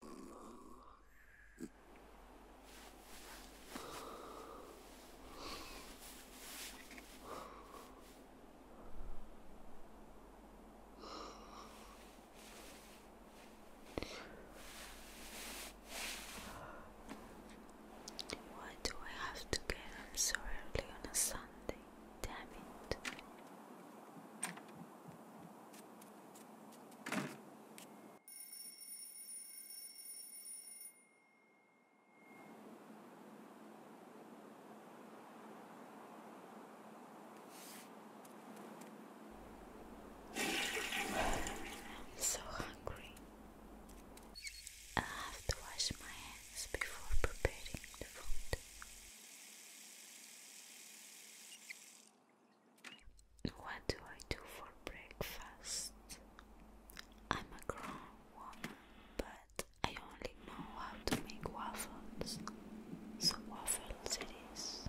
Why do I have to get up so early on a Sunday? Damn it i so hungry. I have to wash my hands before preparing the food. What do I do for breakfast? I'm a grown woman, but I only know how to make waffles, so waffles it is.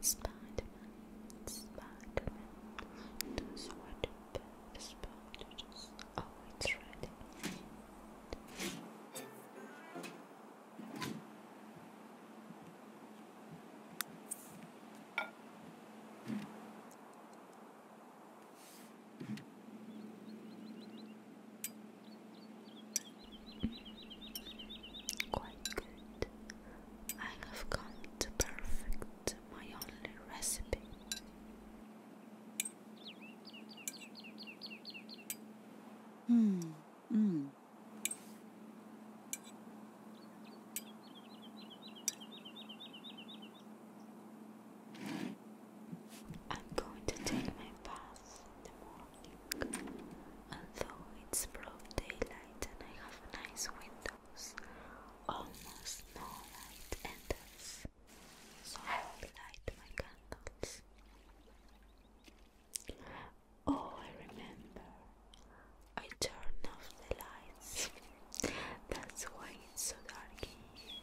Spider-Man, Spider-Man does what a does. Oh, it's ready. Quite good. I have come to perfect my only recipe. Hmm. Mm. I'm going to take my bath the morning. Although it's broad daylight and I have nice windows, almost no light enters, so I light my candles. Oh, remember. I turn off the lights. That's why it's so dark in here.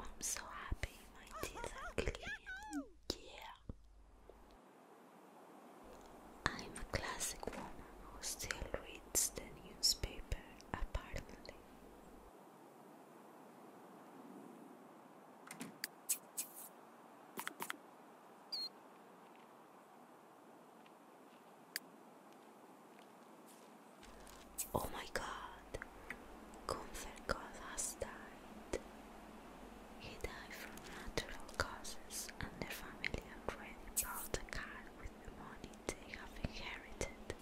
I'm so happy my teeth are Yeah. I'm a classic woman who still reads the newspaper, apparently. Oh my God, Comfort God died. He died from natural causes, and the family already bought a car with the money they have inherited.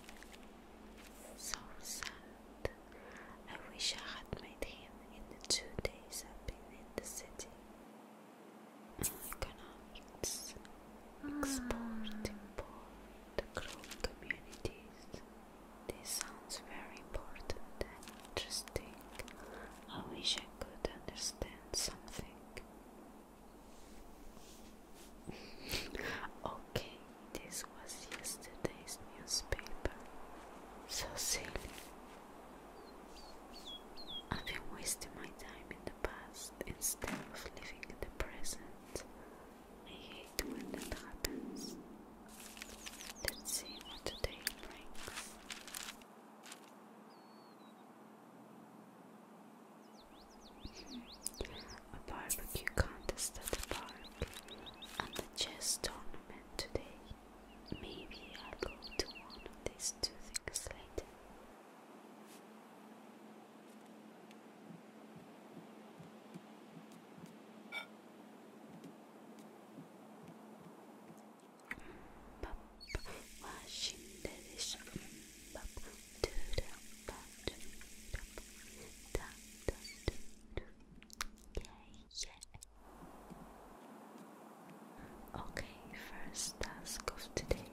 So sad. I wish I had made him in the two days I've been in the city. Economics, export, ah. import, grow communities. This sounds very important and interesting. I wish I could understand something okay, this was yesterday's newspaper. So silly. I've been wasting my time in the past instead of living in the present. I hate when that happens. Let's today brings. A barbecue contest at the park and the chess tournament today. Maybe I'll go to one of these two things later. Bap, washing the dish. Bap, do Okay, Okay, first task of today.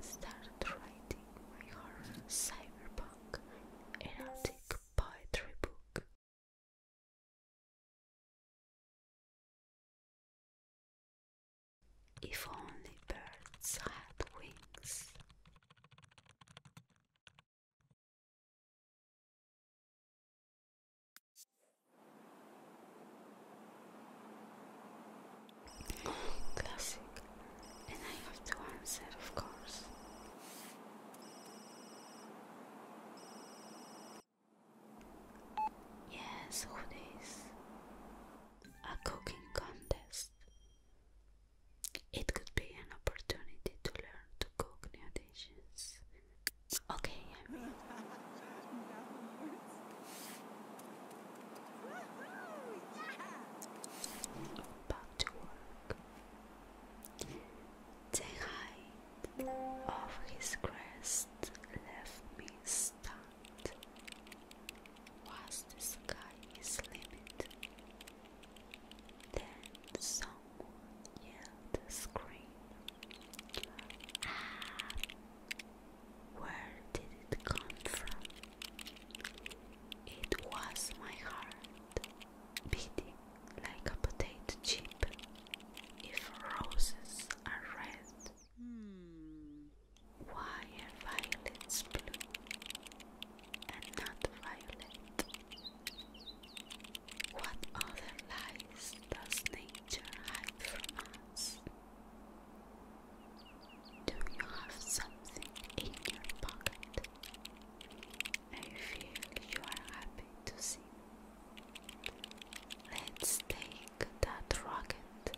Start writing my horror cyberpunk erotic poetry book. If only birds had wings. Classic, and I have to answer, of course. Yes, hoodies. A cooking contest. It could be an opportunity to learn to cook new dishes. Okay, I mean. Back to work. The height of his crest left me stunned out whilst the sky is limit. Then someone yelled a scream. Ah, where did it come from? It was my heart, beating like a potato chip. If roses are red, Hmm. Why are violets blue and not violet? What other lies does nature hide from us? Do you have something in your pocket? I feel you are happy to see. Let's take that rocket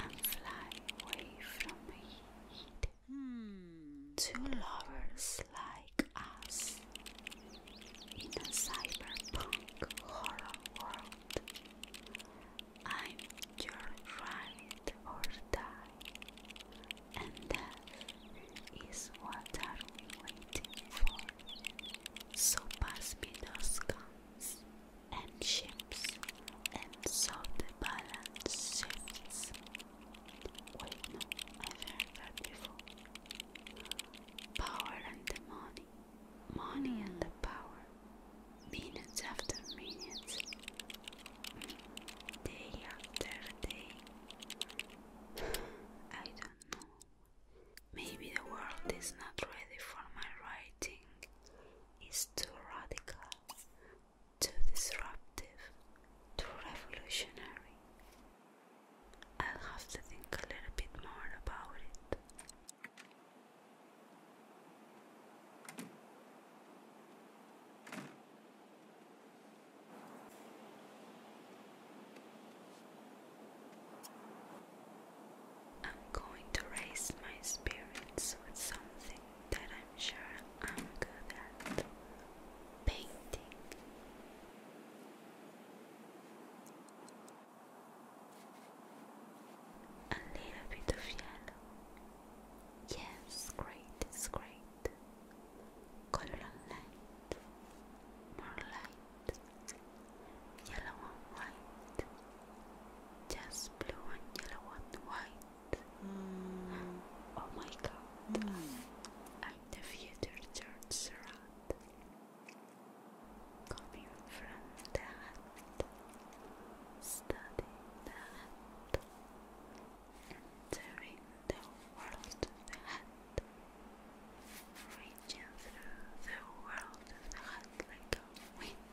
and fly away from heat. Hmm. Two lovers like us in a cyberpunk horror world. I'm your ride or die, and death is what are we waiting for. So pass me those guns and ships, and so the balance shifts. Wait, I've heard before. Power and the money, money and the hmm. power, minutes after minutes, hmm. day after day. I don't know. Maybe the world is not ready for my writing is too radical, too disruptive, too revolutionary. I'll have to think a little bit more about it. I'm going to raise my spirits with something that I'm sure I'm good at painting. A little bit of yellow. Yes, great, it's great. Color and light, more light, yellow and white just blue and yellow and white. Mm. Oh my god, I, am mm. the future George Surratt coming from the heart, studying the heart, entering the world of the heart, reaching through the world of the heart like a wind.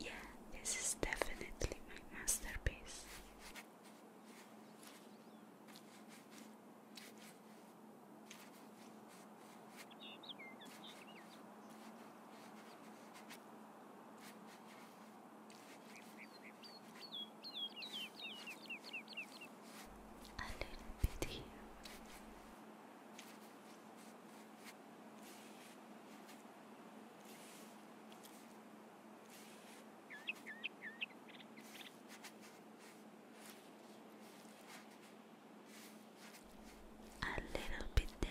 Yeah, this is definitely my masterpiece a little bit here. A little bit there.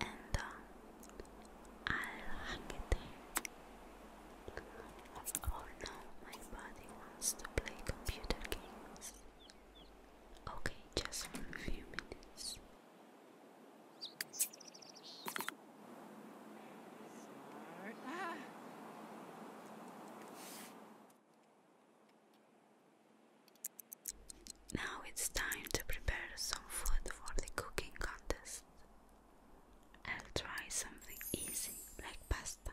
and uh, I'll hug it. Oh no, my body wants to play computer games. Okay, just for a few minutes. Now it's time to prepare some food for the cooking contest. I'll try something easy like pasta.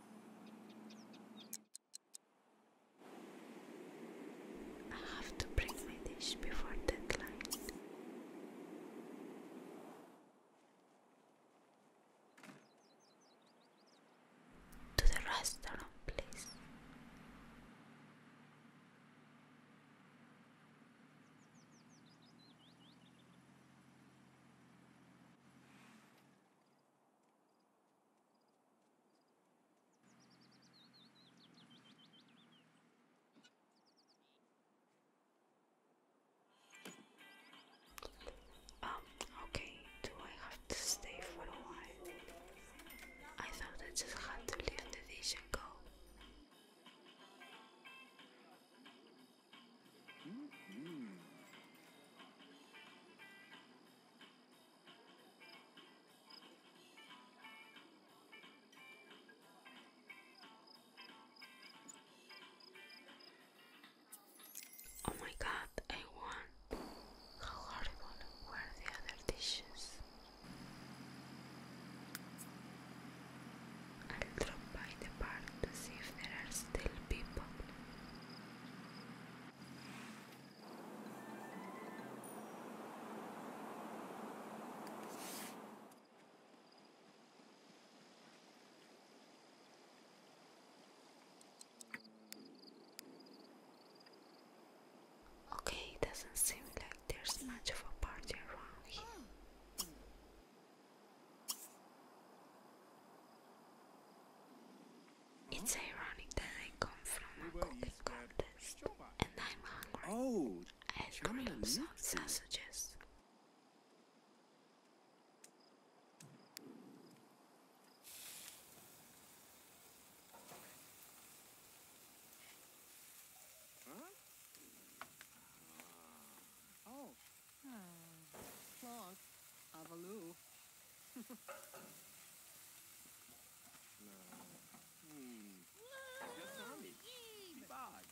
I have to bring my dish before deadline. To the restaurant, please. Um, okay, do I have to stay for a while? I thought I just had to let the vision go. Mm-hmm. Oh my god, I won. How horrible were the other dishes? I'll drop by the park to see if there are still people. Okay, doesn't seem like there's much of a party around here. It's ironic that I come from a cooking contest and I'm hungry. Oh, I have sausages. Ah, oh. Hmm. Clonk. Avaloo. no. Hmm. Just on me. Bog.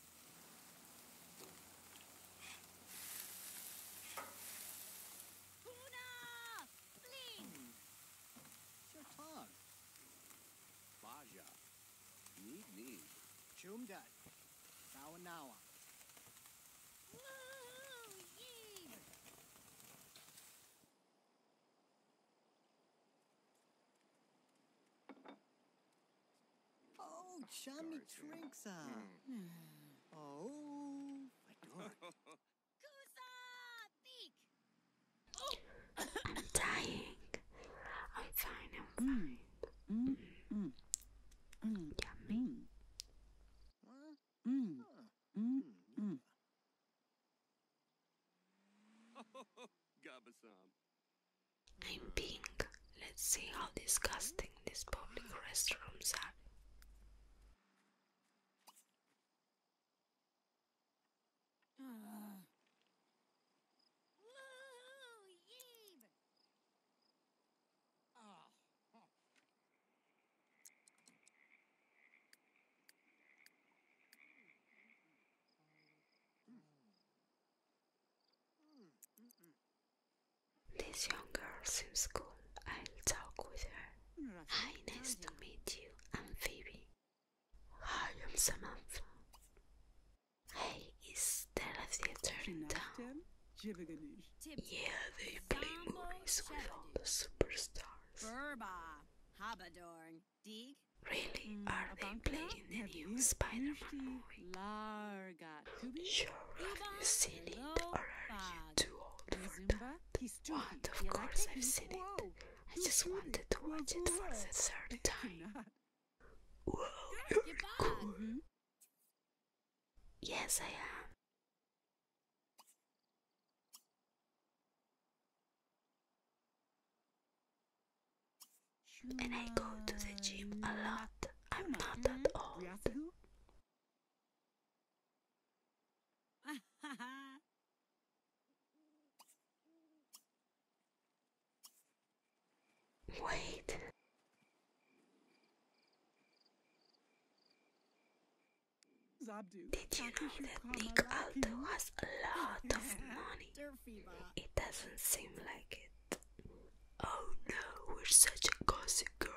Tuna! Bling! Sir Tog. Baja. Need, need. Chumdat. Sawanawa. Whoa, yeah. Oh, chummy Trinksa. Uh, hmm. hmm. Oh, I'm dying. I'm fine, I'm hmm. fine. Mm, mm, mm, yummy. Mm, mm, mm. mm. mm, mm I'm pink. Let's see how disgusting these public restrooms are. Ah. Oh, this young girl seems cool. I'll talk with her. Hi, nice to meet you. I'm Phoebe. Hi, I'm Samantha. Hey, is there a theater in town? Yeah, they play movies with all the superstars. Really? Hmm, are they playing the new Spider-Man movie? Sure, have you seen it? Or are you too old for that? What? Of course I've seen it. I just wanted to watch it for the third time. Wow, you're cool. Yes, I am. And I go to the gym a lot. I'm not that mm-hmm. old. Wait. Did you know that Nick Aldo has a lot of money? It doesn't seem like it. Oh no, we're such a girls.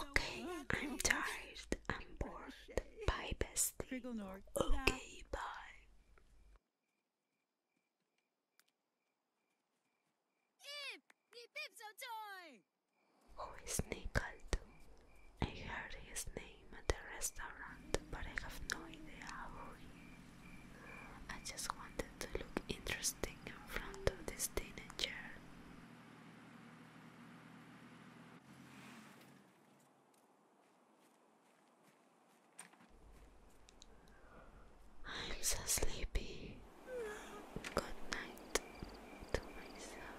Okay, I'm tired. I'm bored. Bye, bestie. Okay, bye. Who is Nickled? I heard his name at the restaurant, but I have no idea who he is. I just wanted to look interesting in front of this teenager. I'm so sleepy. Good night to myself.